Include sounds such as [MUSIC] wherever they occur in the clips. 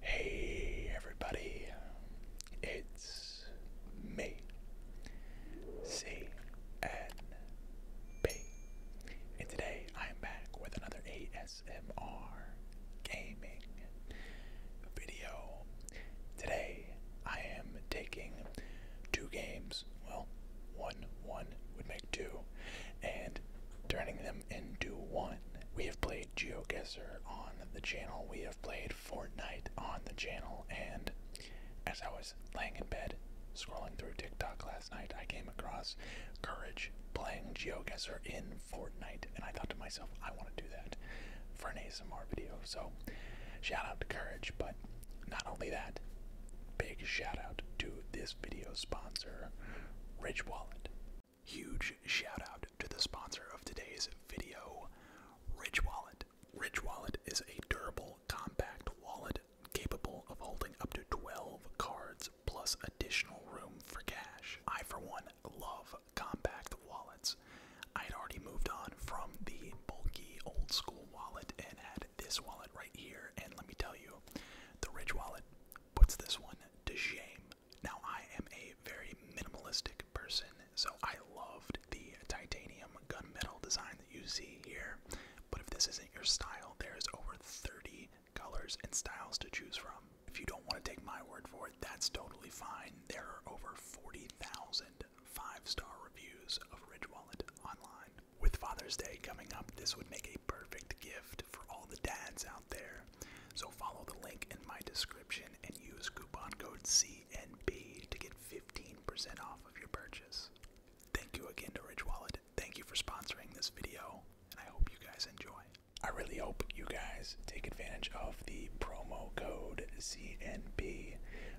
Hey everybody, it's me, C N B, and today I'm back with another ASMR gaming video. Today I am taking two games well, one, one would make two, and turning them into one. We have played GeoGuessr on the channel, we have played Fortnite on the channel, and as I was laying in bed scrolling through TikTok last night, I came across Courage playing GeoGuessr in Fortnite, and I thought to myself, I want to do that for an ASMR video. So, shout out to Courage, but not only that, big shout out to this video sponsor, Ridge Wallet. Huge shout out to the sponsor of today's video, Ridge Wallet. Rich Wallet is a durable, compact wallet capable of holding up to 12 cards plus additional room for cash. I, for one, love compact wallets. I had already moved on from the bulky old school wallet and had this wallet right here, and let me tell you, the Ridge wallet puts this one to shame. Now, I am a very minimalistic person, so I loved the titanium gunmetal design that you see here. But if this isn't your style, there's over 30 colors and styles to choose from. If you don't want to take my word for it, that's totally fine. There are over 40,000 five star reviews of Ridge Wallet online. With Father's Day coming up, this would make a perfect gift for all the dads out there. So follow the link in my description and use coupon code CNB to get 15% off of your purchase. Thank you again to Ridge Wallet. Thank you for sponsoring this video, and I hope you guys enjoy. I really hope you guys take advantage of the promo code CNB.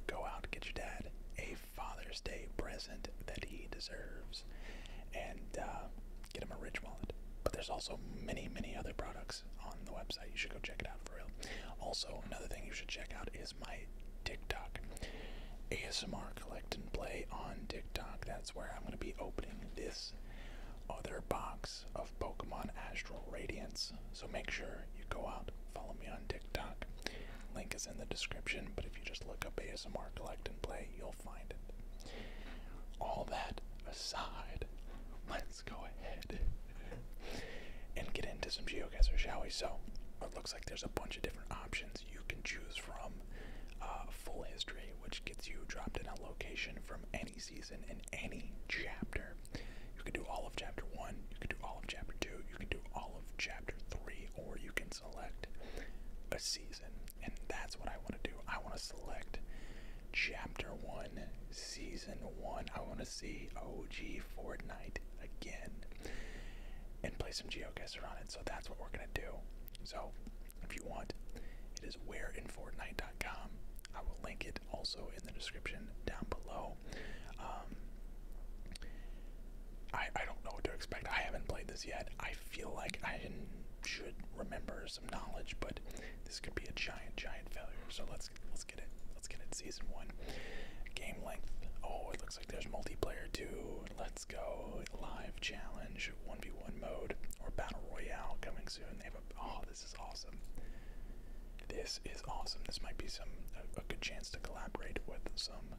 Go out, get your dad a Father's Day present that he deserves and uh, get him a rich wallet. But there's also many, many other products on the website. You should go check it out for real. Also, another thing you should check out is my TikTok. ASMR Collect and Play on TikTok. That's where I'm going to be opening this other box of Pokemon Astral Radiance. So make sure you go out, follow me on TikTok. TikTok. Link is in the description, but if you just look up ASMR Collect and Play, you'll find it. All that aside, let's go ahead and get into some geoguesser, shall we? So, it looks like there's a bunch of different options you can choose from. Uh, full history, which gets you dropped in a location from any season in any chapter. You can do all of chapter one, you can do all of chapter two, you can do all of chapter three, or you can select a season. And that's what I want to do. I want to select chapter one, season one. I want to see OG Fortnite again and play some geoguesser on it. So that's what we're going to do. So if you want, it is where in Fortnite.com. I will link it also in the description down below. Um, I, I don't know what to expect. I haven't played this yet. I feel like I should remember some knowledge, but this could be a giant, giant failure. So let's let's get it. Let's get it. Season one, game length. Oh, it looks like there's multiplayer too. Let's go live challenge, one v one mode, or battle royale coming soon. They have a. Oh, this is awesome. This is awesome. This might be some a, a good chance to collaborate with some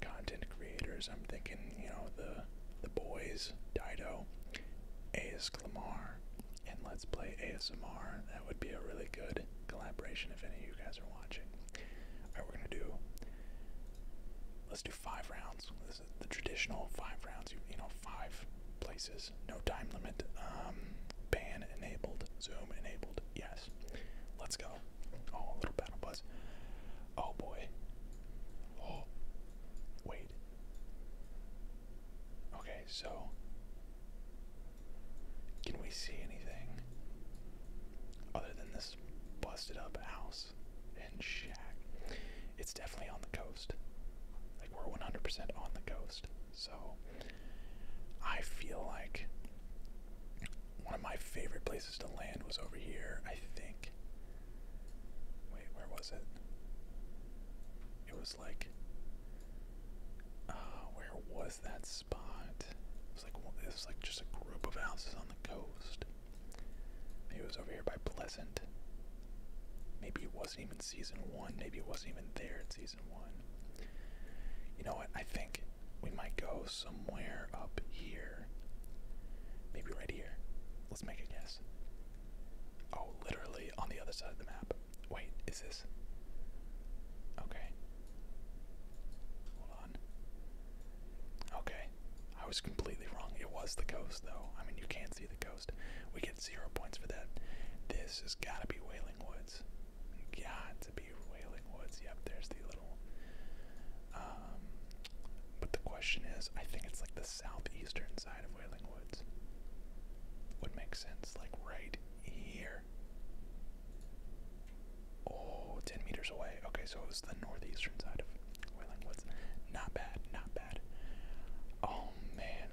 content creators. I'm thinking, you know, the the boys, Dido, AS Clamar, and Let's Play ASMR. That would be a really good collaboration if any of you guys are watching. Alright, we're gonna do let's do five rounds. This is the traditional five rounds, you, know, five places, no time limit. Um ban enabled, zoom enabled, yes. Let's go. Oh, little battle buzz. Oh boy. Oh, wait. Okay, so can we see anything other than this busted up house and shack? It's definitely on the coast. Like we're 100% on the coast. So I feel like one of my favorite places to land was over here, I think. Wait, where was it? It was like, uh, where was that spot? It was like it was like just a group of houses on the coast. Maybe it was over here by Pleasant. Maybe it wasn't even season one. Maybe it wasn't even there in season one. You know what? I think we might go somewhere up here. Maybe right here. Let's make a guess. Oh, literally on the other side of the map. Wait, is this? Okay. Hold on. Okay. I was completely wrong. It was the coast, though. I mean, you can't see the coast. We get zero points for that. This has got to be Whaling Woods. Got to be Wailing Woods. Yep, there's the um, but the question is, I think it's like the southeastern side of Whaling Woods. Would make sense, like right here. Oh, 10 meters away. Okay, so it was the northeastern side of Whaling Woods. Not bad, not bad. Oh man,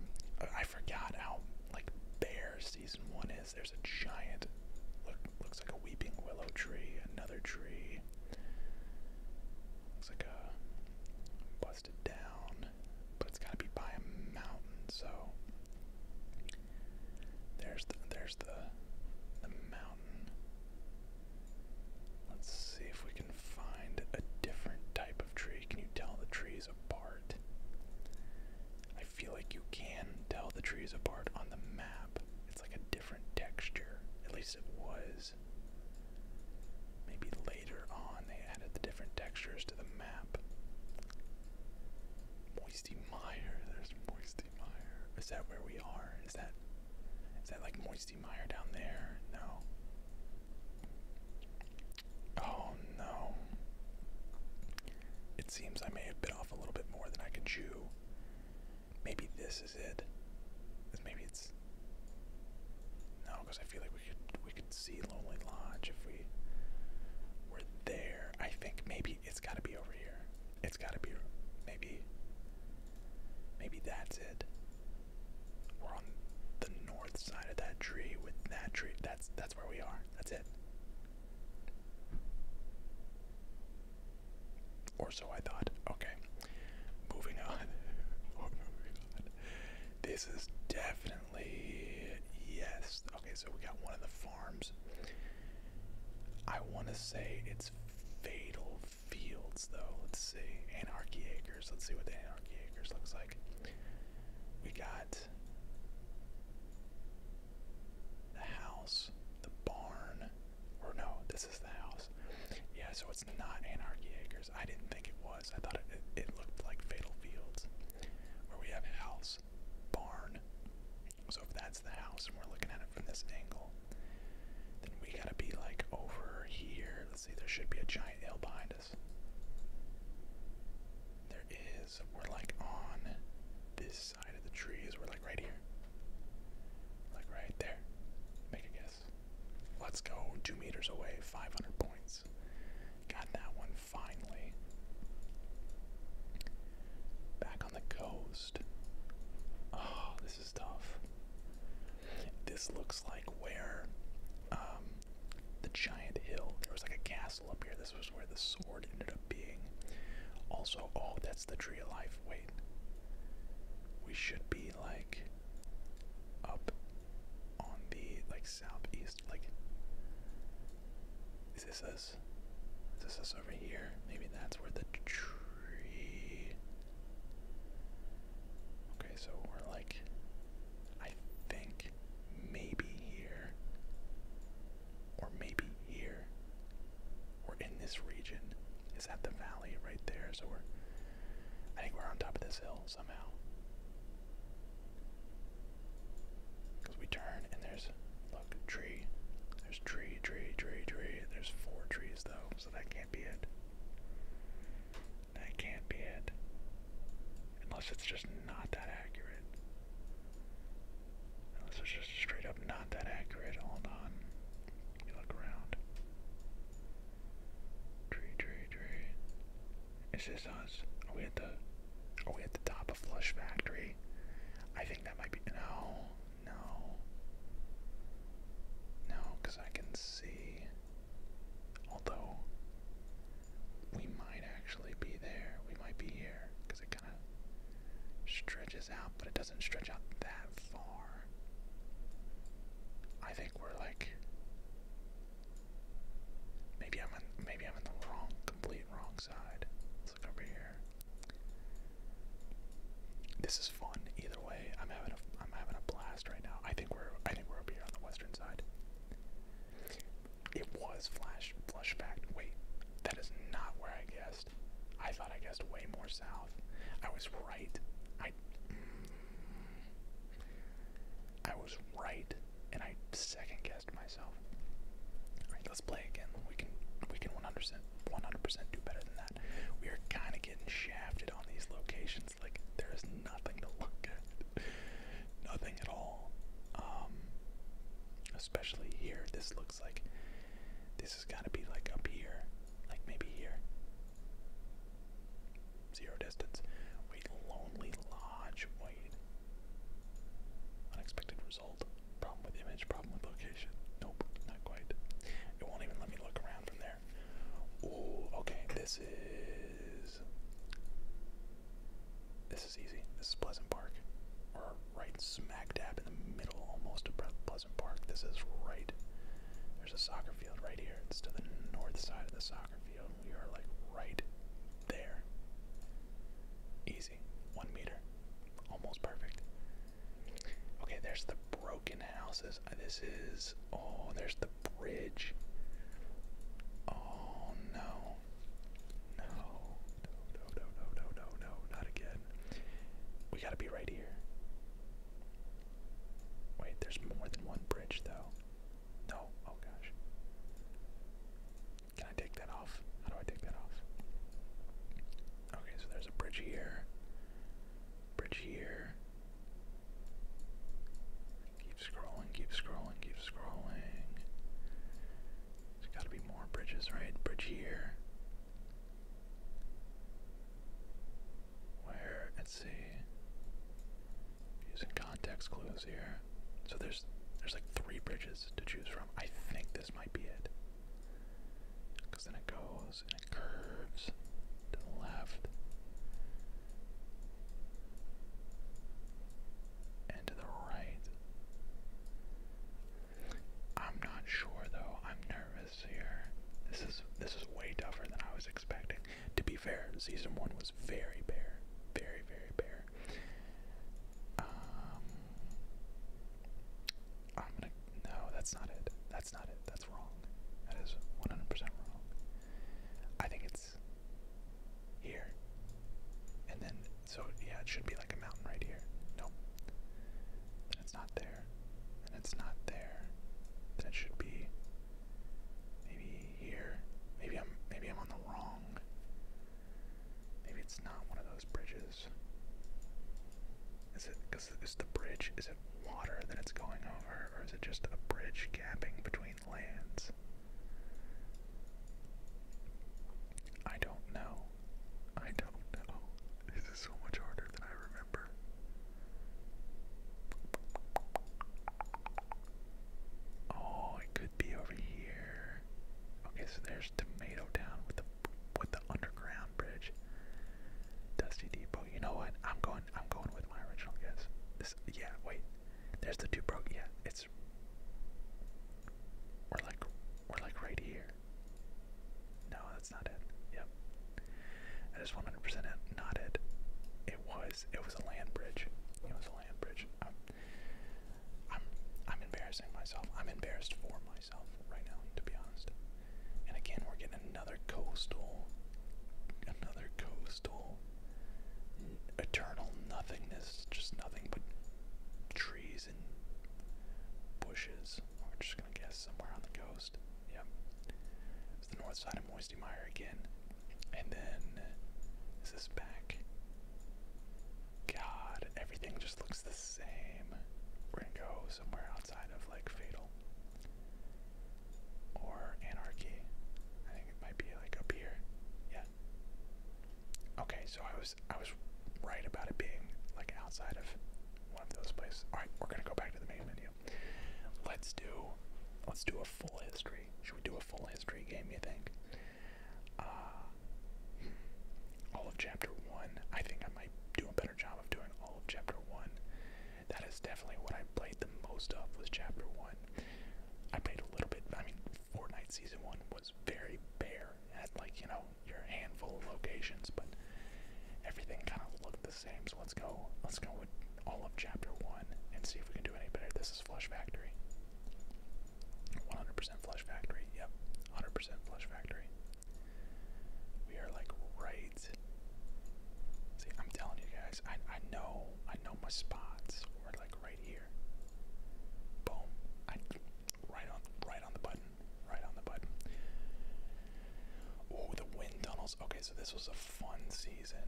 I forgot how like Bear season one is. There's a giant, looks like a weeping willow tree, another tree. Looks like a busted down, but it's gotta be by a mountain. So there's the, there's the the mountain. Let's see if we can find a different type of tree. Can you tell the trees apart? I feel like you can tell the trees apart on the map, it's like a different texture. At least it was. Maybe later on they added the different textures to the map. Moisty Mire, there's Moisty Mire. Is that where we are? Is that is that like Moisty Mire down there? No. Oh no. It seems I may have bit off a little bit more than I can chew. Maybe this is it. Maybe it's no, because I feel like we could we could see Lonely Lodge if we were there. I think maybe it's got to be over here. It's got to be maybe maybe that's it. We're on the north side of that tree with that tree. That's that's where we are. That's it. Or so I thought. Okay. Moving on. [LAUGHS] Oh this is definitely yes. Okay, so we got one of the farms. I want to say it's Fatal Fields, though. Let's see. Anarchy Acres. Let's see what the Anarchy Acres looks like. We got the house, the barn, or no, this is the house. Yeah, so it's not Anarchy Acres. I didn't think it was. I thought it, looked like Fatal Fields, where we have a house, barn. So if that's the house and we're looking at it from this angle, then we gotta be like over here. Let's see, there should be a giant hill behind us. There is. We're like on this side of the trees were like right here. Like right there. Make a guess. Let's go two meters away, 500 points. Got that one finally. Back on the coast. Oh, this is tough. This looks like where um, the giant hill, there was like a castle up here. This was where the reward ended up being. Also, oh, that's the tree of life. Wait. We should be like up on the like southeast. Like, is this us? Is this us over here? Maybe that's where the tree. Okay, so we're like, I think maybe here. Or maybe here. We're in this region is at the valley right there. So we're, I think we're on top of this hill somehow. Because we turn and there's, look, tree. There's tree, tree, tree, tree. There's four trees though, so that can't be it. That can't be it. Unless it's just not that accurate. Unless it's just straight up not that accurate. Hold on. Let look around. Tree, tree, tree. Is this us? Are we at the are we at the top of Flush Factory? I think that might be no, no. No, because I can see. Although we might actually be there. We might be here. Because it stretches out, but it doesn't stretch out that far. I think we're like maybe I'm in. maybe I'm in the wrong, complete wrong side. Let's look over here. This is fun either way. I'm having a I'm having a blast right now. I think we're I think we're over here on the western side. It was flash flush fact. Wait, that is not where I guessed. I thought I guessed way more south. I was right. I mm, was right and I second guessed myself. Alright, let's play again. We can we can 100% 100% do better than that. We are kind of getting shafted on these locations. Like there is nothing to look at. [LAUGHS] nothing at all. Um, especially here. This looks like this this has got to be like up here, like maybe here. Zero distance. Wait, Lonely Lodge. Wait. Unexpected result. Problem with image, problem with location. Nope, not quite. It won't even let me look around from there. Ooh, okay, this is. This is easy. This is Pleasant Park right smack dab in the middle almost of Pleasant Park. This is right. There's a soccer field right here. It's to the north side of the soccer field. We are like right there. Easy. One meter. Almost perfect. Okay, there's the broken houses. Uh, this is. Oh, there's the bridge. Oh no. No no, no, no, no, no, no, not again. We gotta be right here. Wait, there's more than one bridge though. No, oh gosh. Can I take that off? How do I take that off? Okay, so there's a bridge here. Bridge here. Keep scrolling, keep scrolling, keep scrolling. There's gotta be more bridges, right? Bridge here. Where, let's see, using context clues here. So there's there's like three bridges to choose from. I think this might be it. Because then it goes and it curves to the left and to the right. I'm not sure though. I'm nervous here. This is this is way tougher than I was expecting. To be fair, season one was very bare, very very bare. Um, I'm gonna no, that's not it. That's not it. That's wrong. That is 100% wrong. I think it's here, and then so yeah, it should be like a mountain right here. Nope. Then it's not there. Then it's not there. Then it should be maybe here. Maybe I'm maybe I'm on the wrong. Maybe it's not one of those bridges. Is it because is the bridge is it water that it's going over, or is it just a bridge gapping between lands? I don't know. I don't know. This is so much harder than I remember. Oh, it could be over here. Okay, so there's Tomato Down with the with the underground bridge. Dusty Depot. You know what? I'm going. I'm going with my original guess. Yeah. Wait. There's the two broke. Yeah. It's. We're like. We're like right here. No, that's not it. Yep. That is 100% it. Not it. It was. It was a land bridge. It was a land bridge. I'm, I'm, I'm embarrassing myself. I'm embarrassed for myself right now, to be honest. And again, we're getting another coastal, another coastal, eternal nothingness, just nothing but trees bushes. We're just gonna guess somewhere on the coast. Yep. It's the north side of Moisty Mire again. And then is this back? God, everything just looks the same. We're gonna go somewhere outside of like Fatal. Or Anarchy. I think it might be like up here. Yeah. Okay, so I was I was right about it being like outside of one of those places. All right, we're gonna go back to the main menu. Let's do let's do a full history. Should we do a full history game? You think? Uh, all of chapter one. I think I might do a better job of doing all of chapter one. That is definitely what I played the most of was chapter one. I played a little bit. I mean, Fortnite season one was very bare. It had like you know your handful of locations, but everything kind of looked the same. So let's go. Let's go with all of chapter one and see if we can do any better. This is Flush Factory. 100% Flush Factory. Yep, 100% Flush Factory. We are like right. See, I'm telling you guys, I I know I know my spots. We're like right here. Boom. Right on, right on the button, right on the button. Oh, the wind tunnels. Okay, so this was a fun season.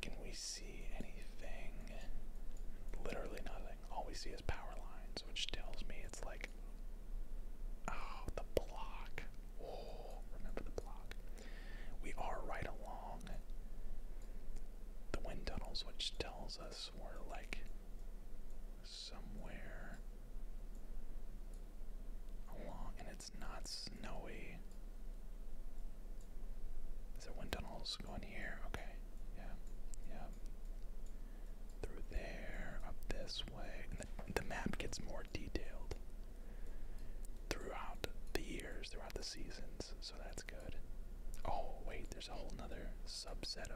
Can we see anything? Literally nothing. All we see is power lines, which tells me it's like, oh, the block. Oh, remember the block. We are right along the wind tunnels, which tells us we're like somewhere along, and it's not snowy. Is there wind tunnels going here? Okay, yeah, yeah. Through there, up this way. And the, map gets more detailed throughout the years, throughout the seasons, so that's good. Oh, wait, there's a whole nother subset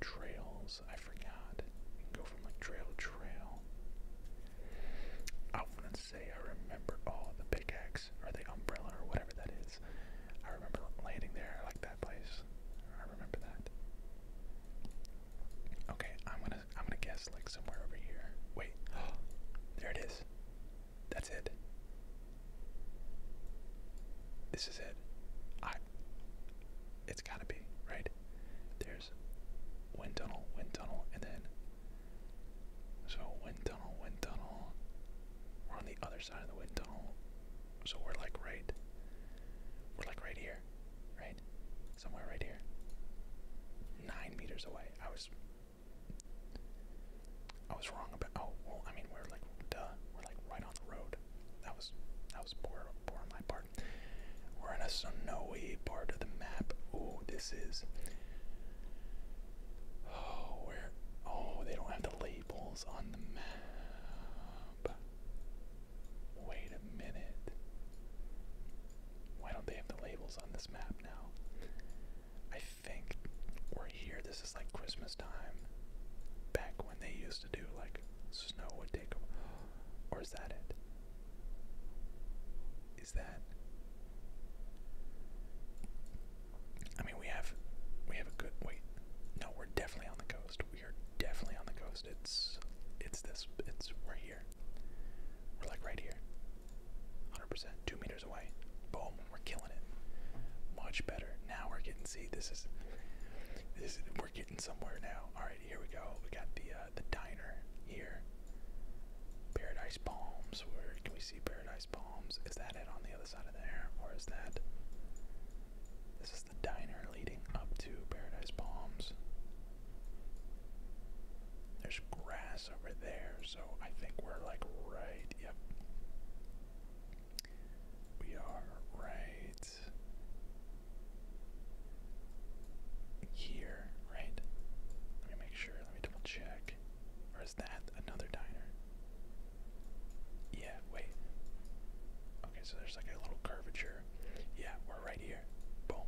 trails. I forgot. go from like trail trail. I wouldn't say I remember all oh, the big pickaxe or the umbrella or whatever that is. I remember landing there. I like that place. I remember that. Okay, I'm gonna I'm gonna guess like somewhere over here. Wait, [GASPS] there it is. That's it. This is it. I it's gotta be, right? There's wind tunnel, wind tunnel, and then so wind tunnel, wind tunnel. We're on the other side of the wind tunnel. So we're like right we're like right here, right? Somewhere right here. Nine meters away. I was I was wrong about oh well I mean we're like duh, we're like right on the road that was that was poor poor my part. We're in a snowy part of the map. Oh, this is. Oh, where? Oh, they don't have the labels on the map. Wait a minute. Why don't they have the labels on this map now? I think we're here. This is like Christmas time. Back when they used to do, like snow would take them. Or is that it? Is that? I mean, we have, we have a good. Wait, no, we're definitely on the coast. We are definitely on the coast. It's, it's this. It's we're here. We're like right here. 100%. Two meters away. Boom. We're killing it. Much better. Now we're getting. See, this is we're getting somewhere now. All right, here we go. We got the uh, the diner here. Paradise Palms. Where can we see Paradise Palms? Is that it on the other side of there, or is that? This is the diner leading up to Paradise Palms. There's grass over there, so I think we're like right. Yep. We are right here, right? Let me make sure. Let me double check. Or is that another diner? Yeah, wait. Okay, so there's like a little curvature. Yeah, we're right here. Boom.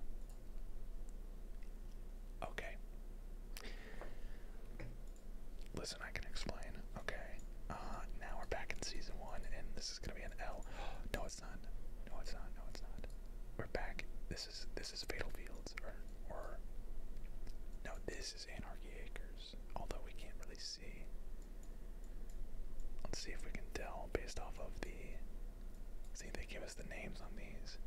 Okay. Listen, I can explain. Okay. Uh, now we're back in season one, and this is gonna be an L. [GASPS] no, it's not. No, it's not. No, it's not. We're back. This is this is Fatal Fields, or or no, this is Anarchy Acres. Although we can't really see. Let's see if we can tell based off of the. See, they give us the names on these.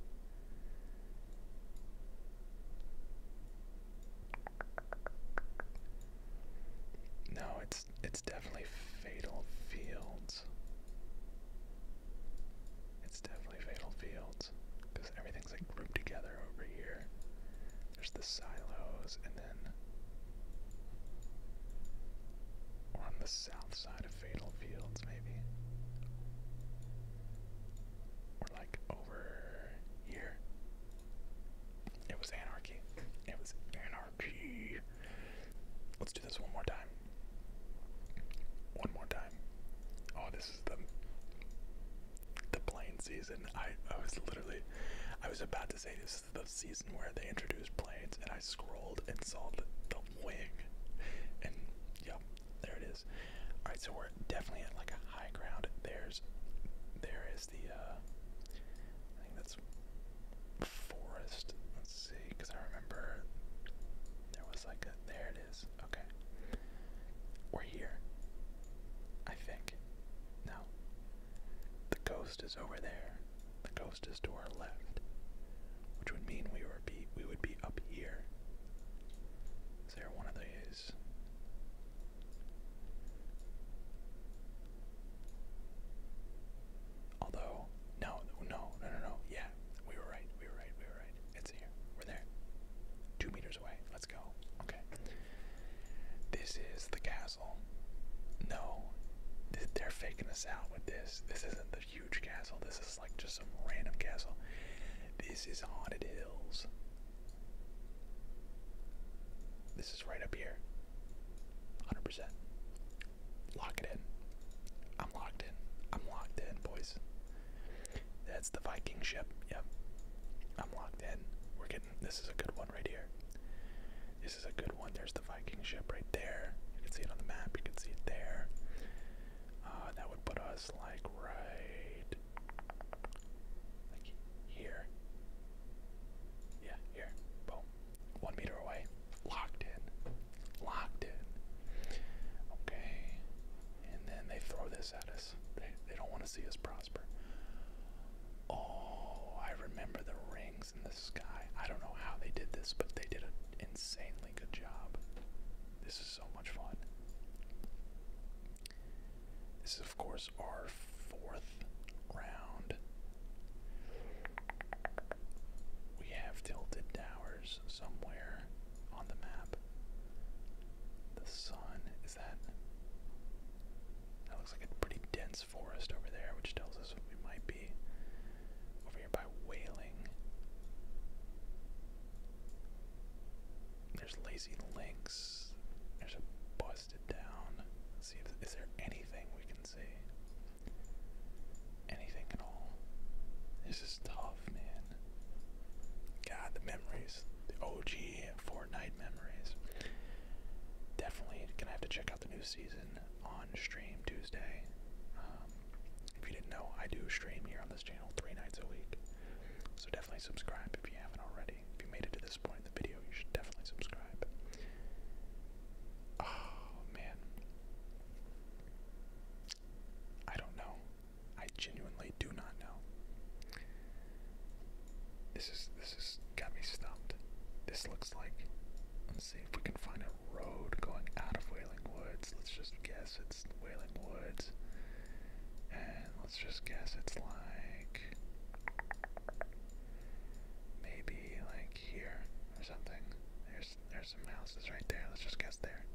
No, it's it's definitely Fatal Fields. It's definitely Fatal Fields because everything's like grouped together over here. There's the silos, and then we're on the south side of Fatal Fields, maybe. We're like over here. It was anarchy. It was anarchy. Let's do this one more time. One more time. Oh, this is the the plane season. I I was literally I was about to say this is the season where they introduced planes, and I scrolled and saw the, the wing, and yeah, there it is. All right, so we're definitely at like a high ground. There's there is the, uh, I think that's forest. Let's see, because I remember there was like a, there it is. Okay. We're here. I think. No. The coast is over there. The coast is to our left, which would mean we were be we would be up here. Is there one of these? Although, no, no, no, no, no. Yeah, we were right. We were right. We were right. It's here. We're there. Two meters away. Let's go. Okay. This is the castle. No, they're faking us out with this. This isn't the huge castle. This is like just some random castle. This is Haunted Hills. This is right up here. 100%. Lock it in. I'm locked in. I'm locked in, boys. That's the Viking ship. Yep. I'm locked in. We're getting this is a good one right here. This is a good one. There's the Viking ship right there. You can see it on the map. You can see it there. Uh, that would put us like right here. Yeah, here. Boom. One meter away. Locked in. Locked in. Okay. And then they throw this at us. They, don't want to see us prosper. Oh, I remember the rings in the sky. I don't know how they did this, but they did an insanely good job. This is so much fun. This of course, our fourth round. We have Tilted Towers somewhere on the map. The sun, is that? That looks like a pretty dense forest over there, which tells us we might be over here by Whaling. There's Lazy Lynx. There's a bus down. let see if is there anything we can see. Anything at all. This is tough, man. God, the memories. The OG Fortnite memories. Definitely gonna have to check out the new season on stream Tuesday. Um, if you didn't know, I do stream here on this channel three nights a week. So definitely subscribe if you haven't already. If you made it to this point in the video, you should definitely subscribe. Oh man. I don't know. I genuinely do not know. This is this has got me stumped. This looks like let's see if we can find a road going out of Wailing Woods. Let's just guess it's Wailing Woods. And let's just guess it's like Maybe like here or something. There's there's some houses right there. Let's just guess there.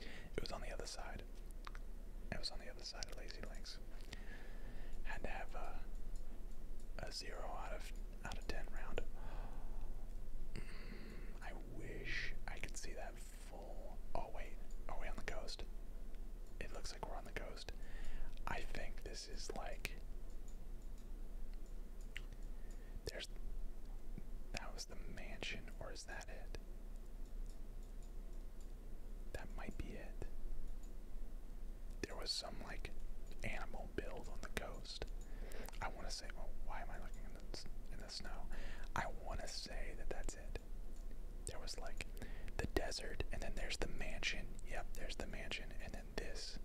It was on the other side. It was on the other side of Lazy Links. Had to have a a zero out of out of ten round. [GASPS] Mm, I wish I could see that full. Oh wait, are we on the coast? It looks like we're on the coast. I think this is like. There's. That was the mansion, or is that it? That might be it. There was some like animal build on the coast. I want to say, why am I looking in the, in the snow? I want to say that that's it. There was like the desert, and then there's the mansion. Yep, there's the mansion, and then this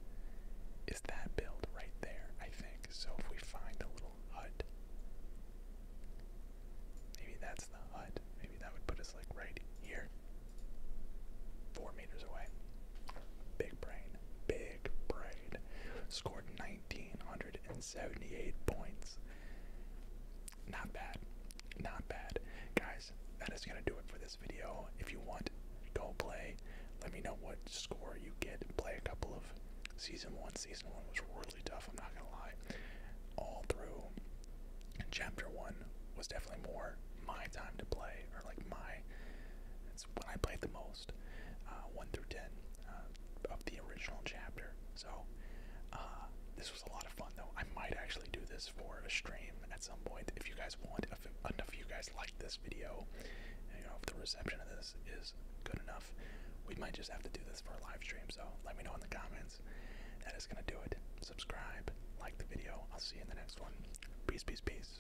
is that build right there, I think. So if we find the little hut, maybe that's the hut. Maybe that would put us like right here. Four meters away. Big brain. Big brain. Scored 1978 points. Not bad. Not bad. Guys, that is going to do it for this video. If you want, go play. Let me know what score you get. Play a couple of season one. Season one was really tough, I'm not going to lie. All through chapter one was definitely more my time to play, or like my. It's when I played the most, uh, 1 through 10 uh, of the original chapter. So, uh, this was a lot of fun though. I might actually do this for a stream at some point if you guys want. If enough of you guys like this video, you know, if the reception of this is good enough, we might just have to do this for a live stream. So let me know in the comments. That is gonna do it. Subscribe, like the video. I'll see you in the next one. Peace, peace, peace.